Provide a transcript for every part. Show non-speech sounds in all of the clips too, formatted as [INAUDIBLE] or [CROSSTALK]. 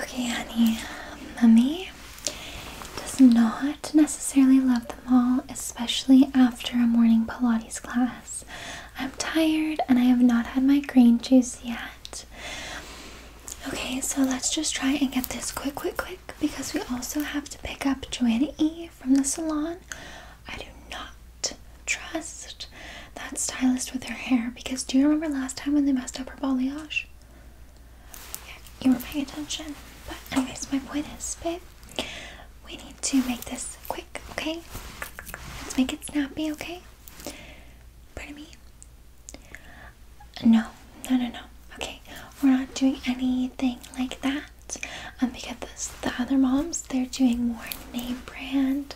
Okay, honey, mummy does not necessarily love the mall, especially after a morning Pilates class. I'm tired and I have not had my green juice yet. Okay, so let's just try and get this quick, quick, quick because we also have to pick up Joanna E from the salon. I do not trust that stylist with her hair because do you remember last time when they messed up her balayage? you were paying attention. But anyways, my point is, babe, we need to make this quick, okay? Let's make it snappy, okay? Pardon me? No, no, no, no. Okay, we're not doing anything like that. Um, because the other moms, they're doing more name brand,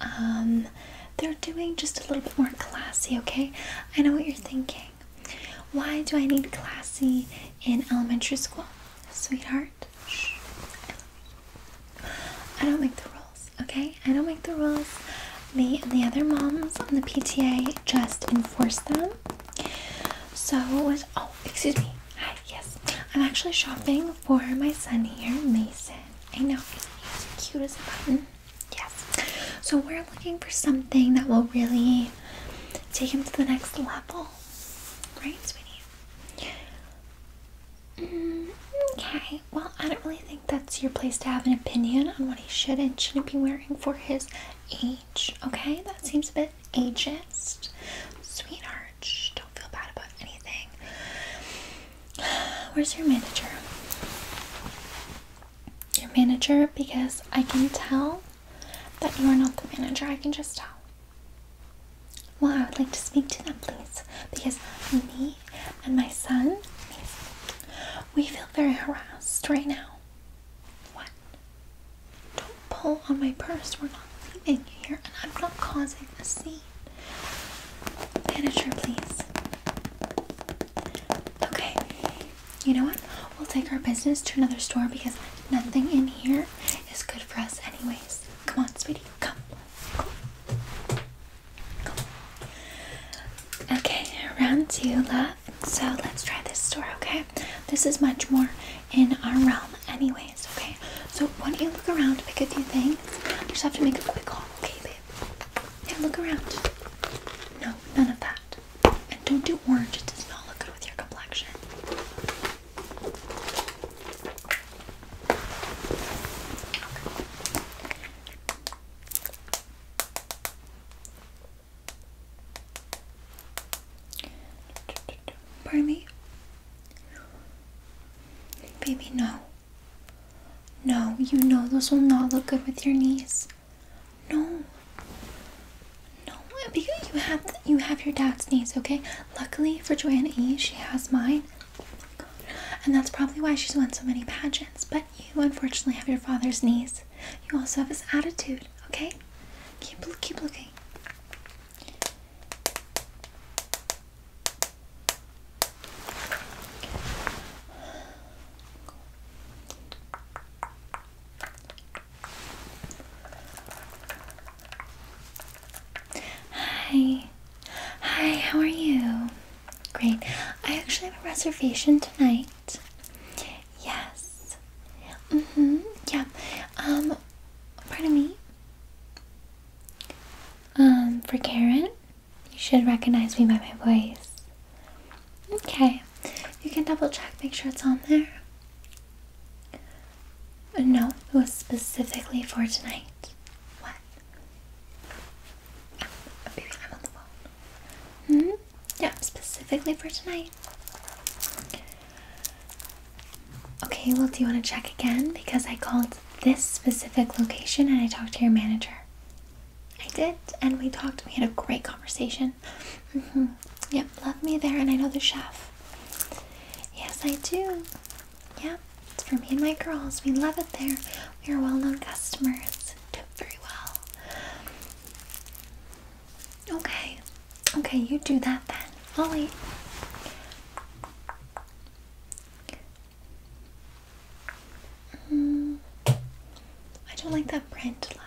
um, they're doing just a little bit more classy, okay? I know what you're thinking. Why do I need classy in elementary school? Sweetheart, I don't make the rules, okay? I don't make the rules. Me and the other moms on the PTA just enforce them. So, was, oh, excuse me. Hi, yes. I'm actually shopping for my son here, Mason. I know, he's cute as a button. Yes. So we're looking for something that will really take him to the next level. Right, sweetie? Mm, okay. Well, I don't really think that's your place to have an opinion on what he should and shouldn't be wearing for his age. Okay? That seems a bit ageist. Sweetheart, don't feel bad about anything. Where's your manager? Your manager, because I can tell that you are not the manager. I can just tell. Well, I would like to speak to them, please, because me and my son, we feel very harassed right now. What? Don't pull on my purse. We're not leaving here, and I'm not causing a scene. Manager, please. Okay, you know what? We'll take our business to another store because nothing in here is good for us, anyways. Come on, sweetie, come. Go. Go. Okay, round two, love. So let's try this store, okay? This is much more in our realm, anyways, okay? So why don't you look around, pick a few things? You just have to make a quick call, okay, babe? Now look around. No, none of that. And don't do orange, it does not look good with your complexion. Okay. Baby, no. No, you know those will not look good with your knees. No. No, because you have you have your dad's knees, okay? Luckily for Joanna E, she has mine. And that's probably why she's won so many pageants. But you unfortunately have your father's knees. You also have his attitude, okay? Keep keep looking. Hi. Hi, how are you? Great. I actually have a reservation tonight. Yes. Mm-hmm. Yep. Um, pardon me. Um, for Karen? You should recognize me by my voice. Okay, you can double check, make sure it's on there. Uh, no, it was specifically for tonight. What? Oh, baby, I'm on the phone. hmm? Yeah, specifically for tonight. Okay, well, do you want to check again? Because I called this specific location and I talked to your manager. I did, and we talked. We had a great conversation. Mm-hmm. Yep, love me there, and I know the chef. Yes, I do. Yep, it's for me and my girls. We love it there. We are well known customers. Do very well. Okay, okay, you do that then. i Mm. I don't like that print, love.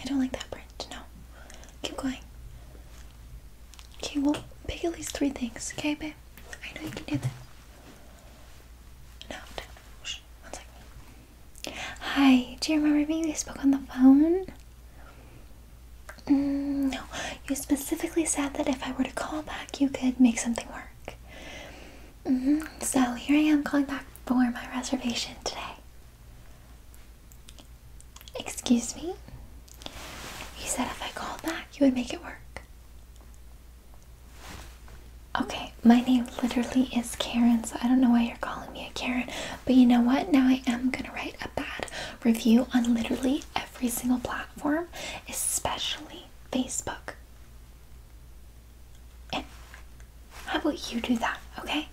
I don't like that print. No. Keep going. Okay, well, pick at least three things, okay, babe? I know you can do that. No, Shh, one second. Hi, do you remember me? We spoke on the phone? Mm, no, you specifically said that if I were to call back, you could make something work. Mm-hmm. So here I am calling back for my reservation today. Excuse me? You said if I called back, you would make it work. Okay, my name literally is Karen, so I don't know why you're calling me a Karen. But you know what? Now I am going to write a bad review on literally every single platform, especially Facebook how about you do that, okay?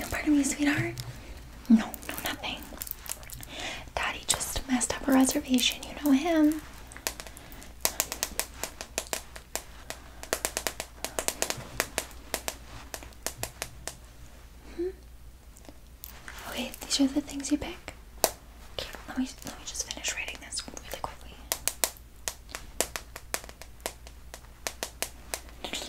No, pardon me, sweetheart. No, no, nothing. Daddy just messed up a reservation. You know him. Hmm? Okay, these are the things you pick. Okay, let me let me just finish writing this really quickly. Rude,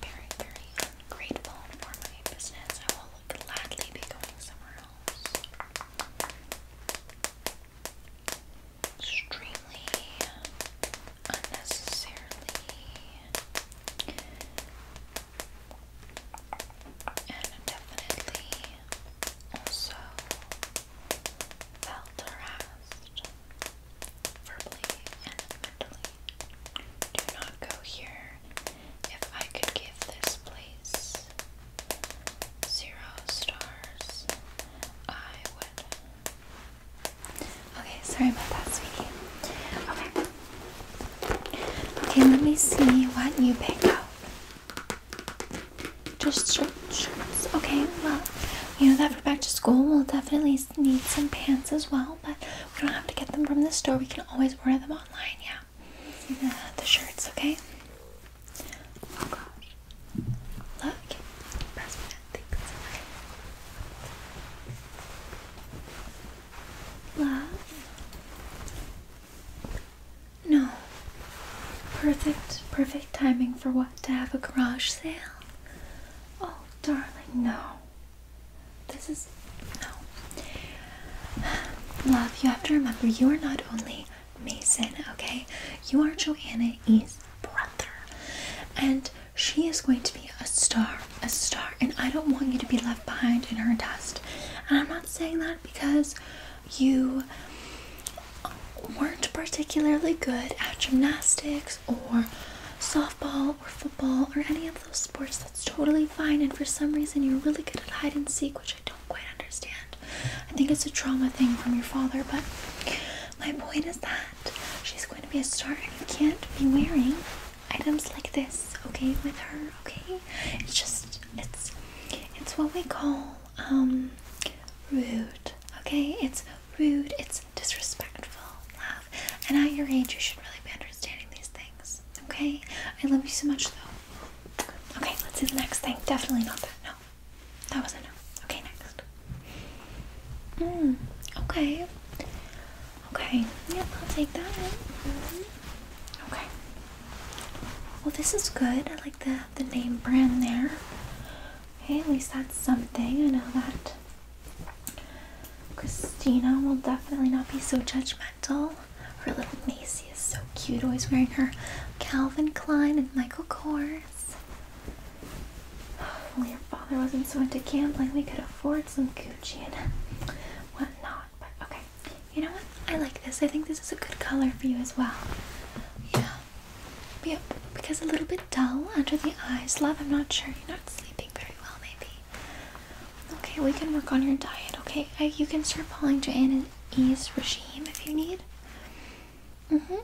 very, very for my business. I will gladly be going somewhere else. unnecessarily and definitely also felt harassed verbally and mentally. Do not go here. If I could give this place zero stars, I would. Okay, sorry about that, sweetie. Okay. Okay, let me see what you pick up. Just shorts, Okay, well, you know that for back to school, we'll definitely need some pants as well, but we don't have to get them from the store. We can always order them online, yeah. The, the shirts, okay? Oh gosh. Look. Love. No. Perfect, perfect timing for what? To have a garage sale? Oh, darling, no. This is. no. Love, you have to remember you are not only Mason, okay? You are Joanna E's brother. And she is going to be a star, a star, and I don't want you to be left behind in her dust. And I'm saying that because you weren't particularly good at gymnastics or softball or football or any of those sports. That's totally fine. And for some reason, you're really good at hide and seek, which I don't quite understand. I think it's a trauma thing from your father, but my point is that she's going to be a star and you can't be wearing items like this, okay, with her, okay? It's just it's it's what we call um, rude. Okay, it's rude. It's disrespectful, And at your age, you should really be understanding these things. Okay, I love you so much, though. Okay, let's do the next thing. Definitely not that. No, that wasn't no. Okay, next. Mm, okay. Okay. Yep, I'll take that. Okay. Well, this is good. I like the the name brand there. Okay, at least that's something. I know that Christina will definitely not be so judgmental. Her little Macy is so cute, always wearing her Calvin Klein and Michael Kors. [SIGHS] Only her father wasn't so into gambling, we could afford some Gucci and whatnot. But okay, you know what? I like this. I think this is a good color for you as well. Yeah. yeah because a little bit dull under the eyes. Love, I'm not sure. You're not sleeping very well, maybe. Okay, we can work on your diet, okay? you can start following Janine's regime if you need. hmm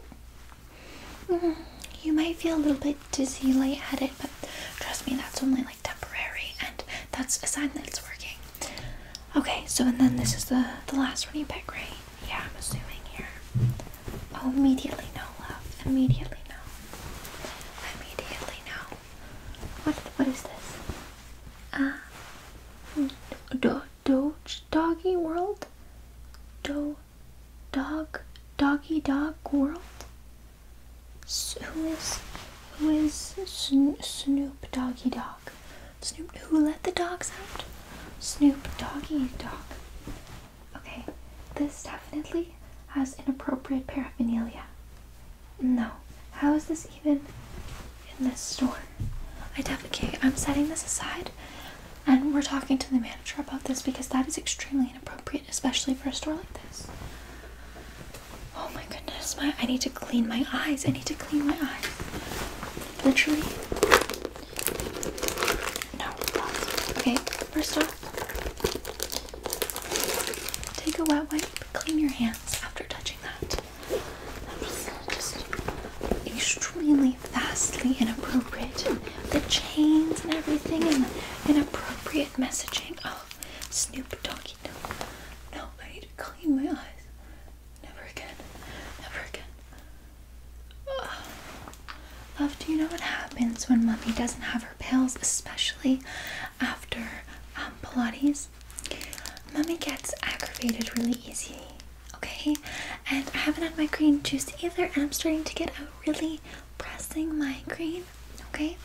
You might feel a little bit dizzy, light headed, but trust me, that's only like temporary, and that's a sign that it's working. Okay, so and then this is the the last one you pick, right? Yeah, I'm assuming here. Oh, immediately no, love. Immediately no. Immediately no. What what is this? Ah, uh, do doggy world. Do dog doggy dog world. who is who is Snoop Doggy Dog? Snoop, who let the dogs out? Snoop Doggy Dog. Okay, this definitely has inappropriate paraphernalia. No, how is this even in this store? I definitely, I'm setting this aside and we're talking to the manager about this because that is extremely inappropriate, especially for a store like this. Oh my goodness, my I need to clean my eyes. I need to clean my eyes. Literally. No, Okay, first off, take a wet wipe, clean your hands after touching that. That was just extremely vastly inappropriate. The chains and everything and inappropriate messaging. Oh, Snoop Doggy. No, no, I need to clean my eyes. Never again. Never again. Love, do you know what happens when mommy doesn't have her pills, especially after um, Pilates? Mommy gets aggravated really easy, okay? And I haven't had my green juice either, and I'm starting to get a really pressing migraine, okay?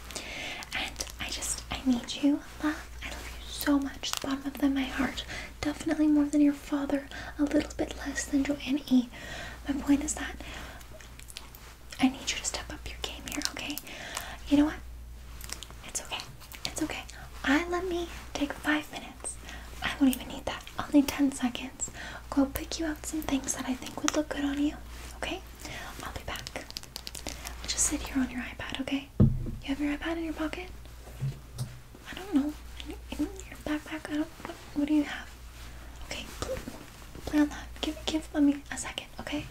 And I just, I need you love. I love you so much. The bottom of my heart. Definitely more than your father. A little bit less than Joanne E. My point is that I need you to step up your game here, okay? You know what? It's okay. It's okay. I let me take five minutes. I won't even need that. I'll need ten seconds. Go pick you up some things that I think would look good on you. Okay? I'll be back. I'll just sit here on your iPad, okay? You have your iPad in your pocket? I don't know. In your backpack? I don't. What, do you have? Okay, play on that. Give, give mommy a second, okay?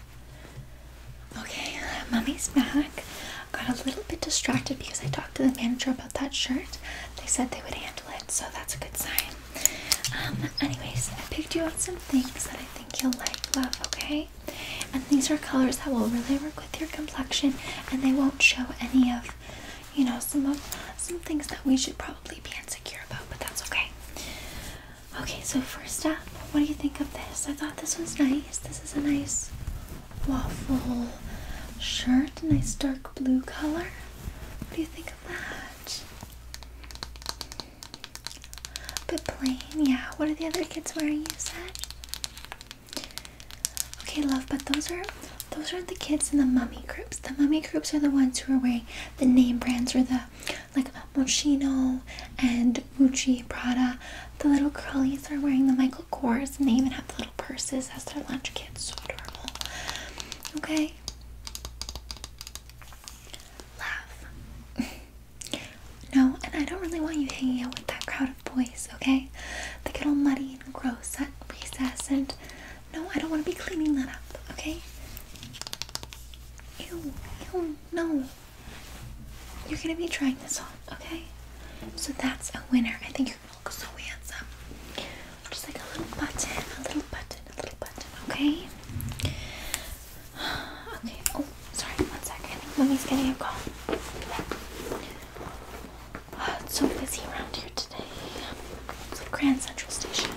Okay, mommy's back. Got a little bit distracted because I talked to the manager about that shirt. They said they would handle it, so that's a good sign. Um, anyways, I picked you up some things that I think you'll like, love, okay? And these are colors that will really work with your complexion and they won't show any of, you know, some of some things that we should probably be insecure about, but that's okay. Okay, so first up, what do you think of this? I thought this was nice. This is a nice waffle shirt, nice dark blue color. What do you think of that? A bit plain, yeah. What are the other kids wearing, you said? Okay, love, but those are those are not the kids in the mummy groups. The mummy groups are the ones who are wearing the name brands or the like Moschino and Gucci, Prada. The little curlies are wearing the Michael Kors and they even have the little purses as their lunch kids. So adorable. Okay. Love. [LAUGHS] No, and I don't really want you hanging out with that crowd of boys, okay? They get all muddy and gross at recess, and no, I don't want to be cleaning that up, okay? Ew, ew, no. You're gonna be trying this on, okay? So that's a winner. I think you're gonna look so handsome. Just like a little button, a little button, a little button, okay? [SIGHS] Okay, oh, Sorry, one second. Mommy's getting a call. it's so busy around here today. It's like Grand Central Station.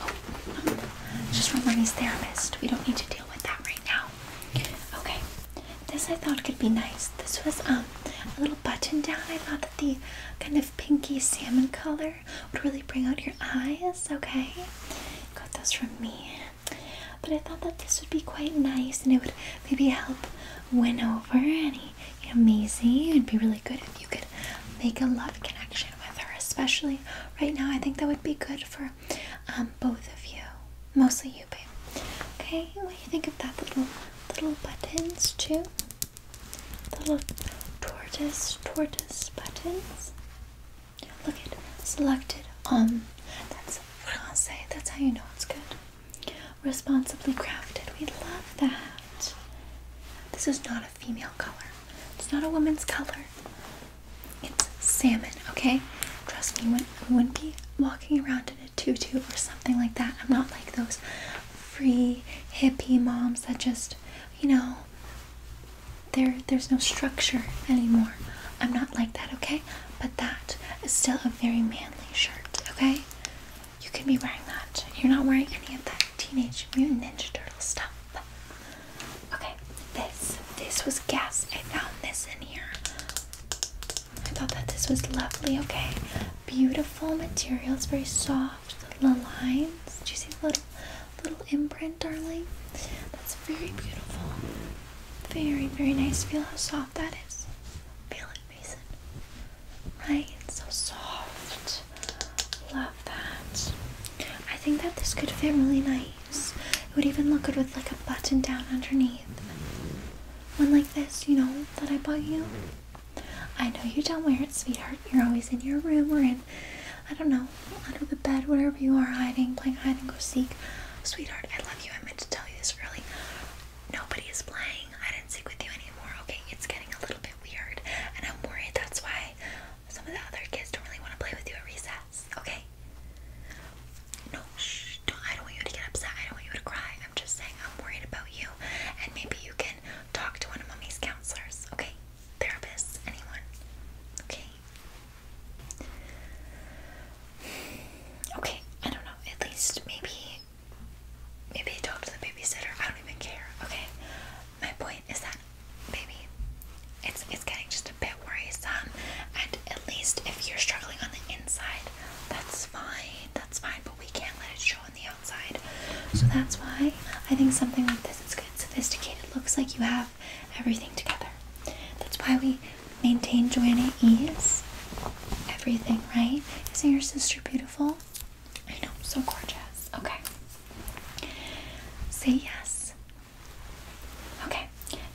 Oh, just from Mommy's therapist. We don't need to deal with that right now. Okay. This I thought could be nice. This was um a little button down. I thought that the kind of pinky salmon color would really bring out your eyes. Okay. Got those from me. But I thought that this would be quite nice and it would maybe help win over any Amazing! It'd be really good if you could make a love connection with her, especially right now. I think that would be good for um, both of you. Mostly you, babe. Okay, what do you think of that little little buttons too? little tortoise tortoise buttons. Look at selected on. Um, that's français. That's how you know it's good. Responsibly crafted. We love that. This is not a female color. It's not a woman's color. It's salmon, okay? Trust me, I wouldn't be walking around in a tutu or something like that. I'm not like those free hippie moms that just, you know, there there's no structure anymore. I'm not like that, okay? but that is still a very manly shirt, okay? You can be wearing that. You're not wearing any of that Teenage Mutant Ninja Turtle stuff. Okay, this. This was gas. I found this in here. I thought that this was lovely, okay? Beautiful material. It's very soft. The lines. Do you see little, little imprint, darling? That's very beautiful. Very, very nice. Feel how soft that is. Feel it, Mason. Right? It's so soft. Love that. I think that this could fit really nice. It would even look good with like a button down underneath. One like this, you know, that I bought you. I know you don't wear it, sweetheart. You're always in your room or in, I don't know, under the bed, wherever you are hiding, playing hide and go seek. Sweetheart, I love you. I meant to tell this early. Nobody is playing. I didn't stick with you anymore. Okay, it's getting a little bit weird, and I'm worried that's why some of the other kids don't really want to play with you at recess. Okay? No, shh. I don't want you to get upset. I don't want you to cry. I'm just saying I'm worried about you, and maybe you can talk to one of mommy's counselors. Okay? Therapists, anyone. Okay? Okay, I don't know. At least maybe maybe I talk to the babysitter. I don't even care. Okay. My point is that maybe it's it's getting just a bit worrisome and at least if you're struggling on the inside, that's fine. That's fine, but we can't let it show on the outside. So that's why I think something like this is good. Sophisticated looks like you have everything together. That's why we maintain Joanna ease, everything, right? Isn't your sister beautiful? I know, so gorgeous. Okay. Say yes. Okay.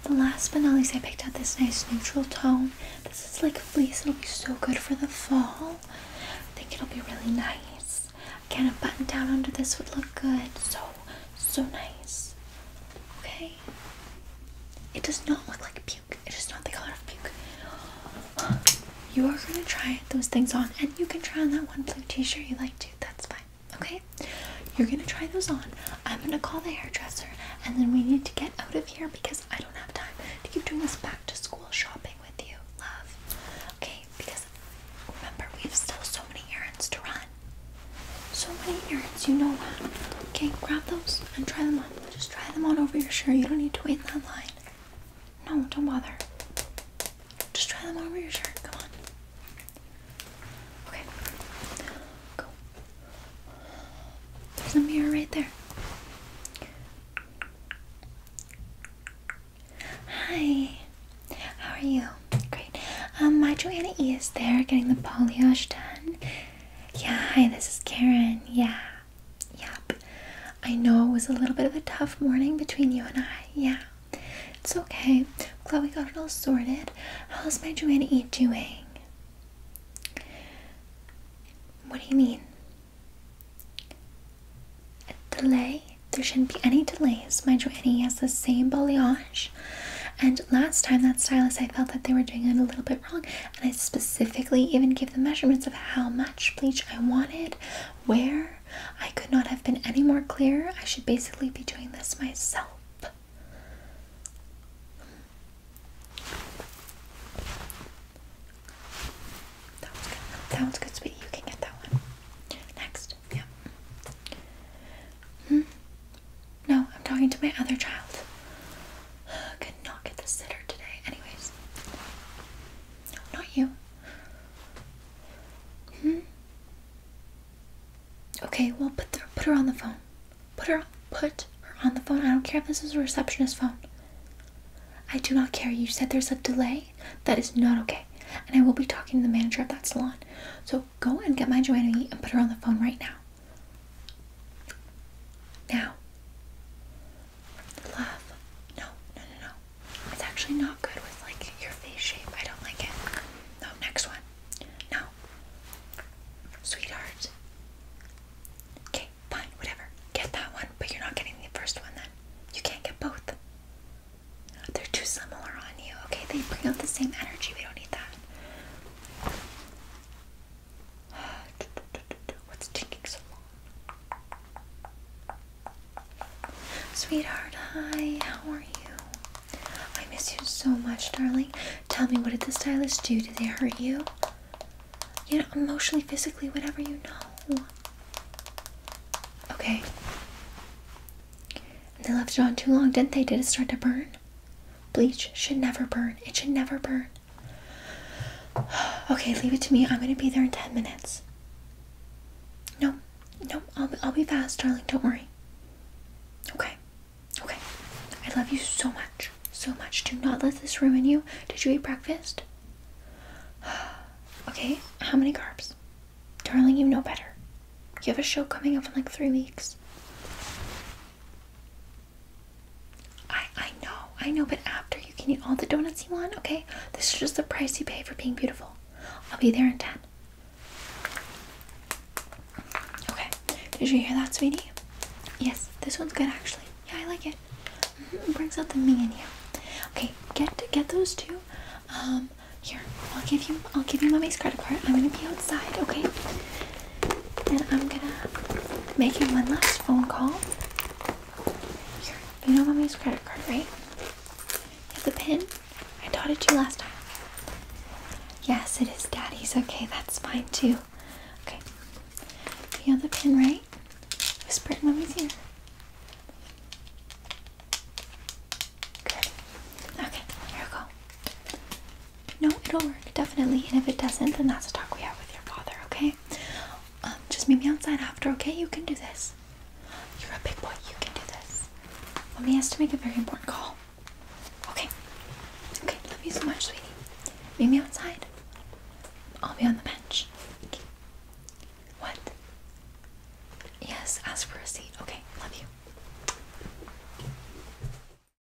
The last but not least, I picked out this nice neutral tone. This is like fleece. It'll be so good for the fall. I think it'll be really nice. Again, a button down under this would look good. So, so nice. Okay. It does not look like puke. It is not the color of puke. You are gonna try those things on, and you can try on that one blue t-shirt you like too. That's fine. Okay? You're gonna try those on. I'm gonna call the hairdresser, and then we need to get out of here because I don't have time to keep doing this back to school shopping with you, love. Okay? Because remember, we have still so many errands to run. So many earrings, you know Okay, grab those and try them on. Just try them on over your shirt. You don't need to wait in that line. No, don't bother. Just try them on over your shirt. Come on. Okay. Go. There's a mirror right there. Hi. How are you? Great. Um, my Joanna E is there getting the balayage done. Yeah, hi, this is Karen. Yeah, yep. I know it was a little bit of a tough morning between you and I. Yeah, it's okay. glad we got it all sorted. How's my Joannie doing? What do you mean? A delay? There shouldn't be any delays. My Joannie has the same belly on and last time that stylist, I felt that they were doing it a little bit wrong, and I specifically even gave the measurements of how much bleach I wanted, where. I could not have been any more clear. I should basically be doing this myself. That one's good. That one's good, sweetie. You can get that one. Next. Yep. -hmm. No, I'm talking to my other child. [SIGHS] Could not get the sitter today. Anyways. not you. Hmm? Okay, well put the, put her on the phone. Put her put her on the phone. I don't care if this is a receptionist phone. I do not care. You said there's a delay. That is not okay. And I will be talking to the manager of that salon. So go and get my Joanna and put her on the phone right now. Now, love. No, no, no, no. It's actually not good with like your face shape. I don't like it. No, next one. No. Sweetheart. Okay, fine, whatever. Get that one, but you're not getting the first one then. You can't get both. They're too similar on you, okay? They bring out the same energy. We don't need that. [SIGHS] What's taking so long? Sweetheart, hi, how are you? I miss you so much, darling. Tell me, what did the stylist do? Did they hurt you? You know, emotionally, physically, whatever you know. Okay. they left it on too long, didn't they? Did it start to burn? Bleach should never burn. It should never burn. [SIGHS] Okay, leave it to me. I'm gonna be there in 10 minutes. No, no, I'll, I'll be fast, darling. Don't worry. Okay, okay. I love you so much, so much. Do not let this ruin you. Did you eat breakfast? [SIGHS] Okay, how many carbs? Darling, you know better. You have a show coming up in like three weeks. I I know, I know, but after you can eat all the donuts you want, okay? This is just the price you pay for being beautiful. I'll be there in 10. Okay, did you hear that, sweetie? Yes, this one's good actually. Yeah, I like it. Mm-hmm, brings out the me in you. Okay, get get those two. Um, here, I'll give you I'll give you mommy's credit card. I'm gonna be outside, okay? and I'm gonna make you one last phone call. you know mommy's credit card, right? You have the pin? I taught it you last time. Yes, it is daddy's. Okay, that's fine too. Okay. You have the pin, right? Whisper it in mommy's ear. Good. Okay, here we go. No, it'll work, definitely. And if it doesn't, then that's a talk we have with your father, okay? Um, just meet me outside after, okay? You can do this. You're a big boy, you can do this. Mommy has to make a very important call. Okay. Okay, love you so much, sweetie. Meet me outside. I'll be on the bench. Okay. What? Yes, ask for a seat. Okay, love you.